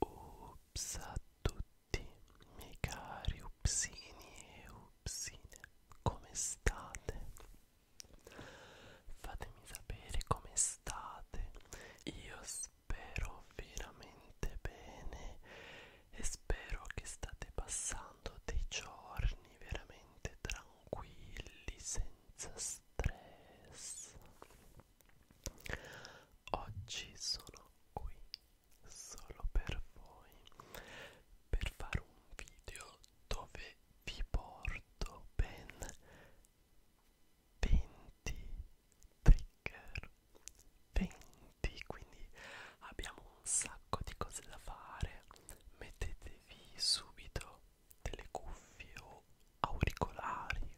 Ups a tutti miei cari upsini e upsine, come state? Fatemi sapere come state, io spero veramente bene e spero che state passando dei giorni veramente tranquilli senza stress oggi sono qui solo per voi per fare un video dove vi porto ben 20 trigger 20 quindi abbiamo sacco di cose da fare mettetevi subito delle cuffie o auricolari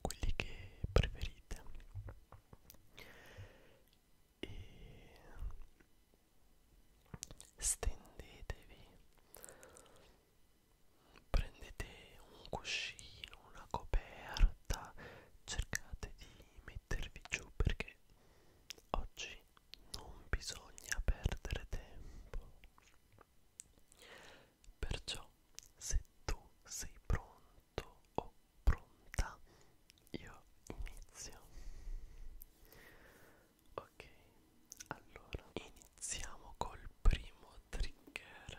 quelli che preferite e stendetevi prendete un cuscino una coperta cercate di mettervi giù perché Oggi non bisogna perdere tempo. Perciò se tu sei pronto o pronta, io inizio. Ok, allora iniziamo col primo trigger.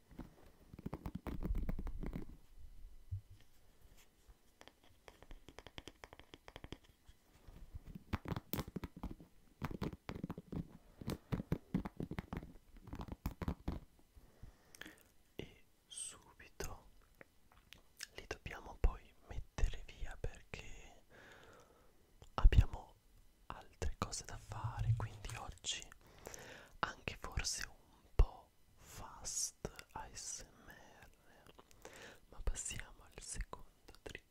e subito li dobbiamo poi mettere via perché abbiamo altre cose da fare quindi oggi anche forse un po' fast podcast ASMR ma passiamo al secondo trigger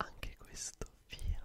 Anche questo via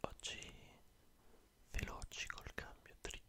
Oggi veloci col cambio trigger.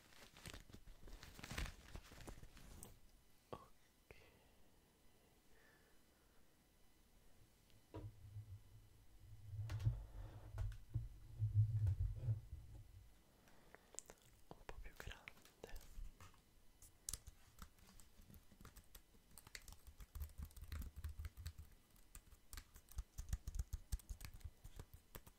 ok un po' più grande ok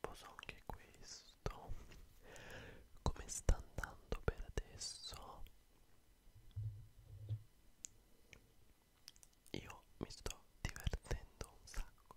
poso anche questo come sta andando per adesso io mi sto divertendo un sacco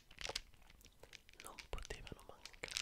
non potevano mancare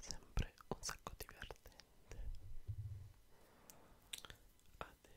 sempre un sacco divertente Ade.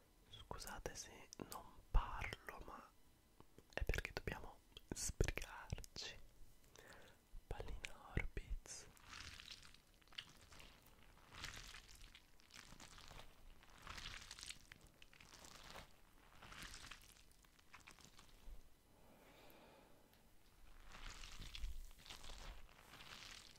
Scusate se non parlo, ma è perché dobbiamo sbrigarci. Pallina Orbits.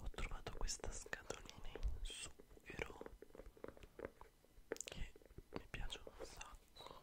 Ho trovato questa scatolina in sughero che mi piace un sacco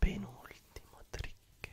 penultimo trick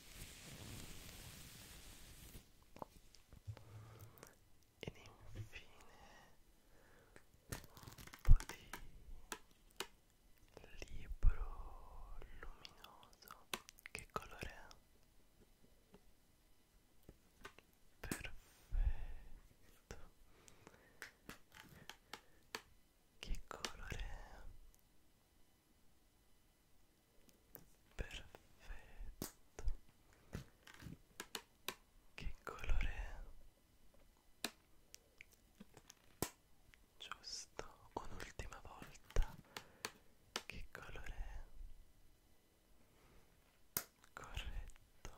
ed infine un po' di libro luminoso che colore è? perfetto che colore è? Perfetto. Che colore è? Giusto, un'ultima volta. Che colore è? Corretto.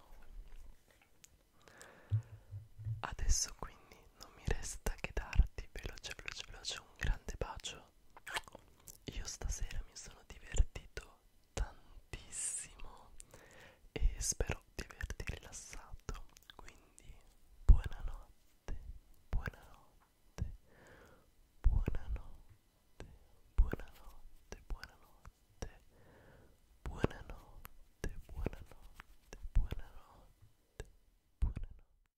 Adesso quindi non mi resta che darti veloce veloce veloce un grande bacio io stasera mi sono divertito tantissimo e spero di averti rilassato quindi buonanotte buonanotte buonanotte buonanotte buonanotte buonanotte buonanotte buonanotte buonanotte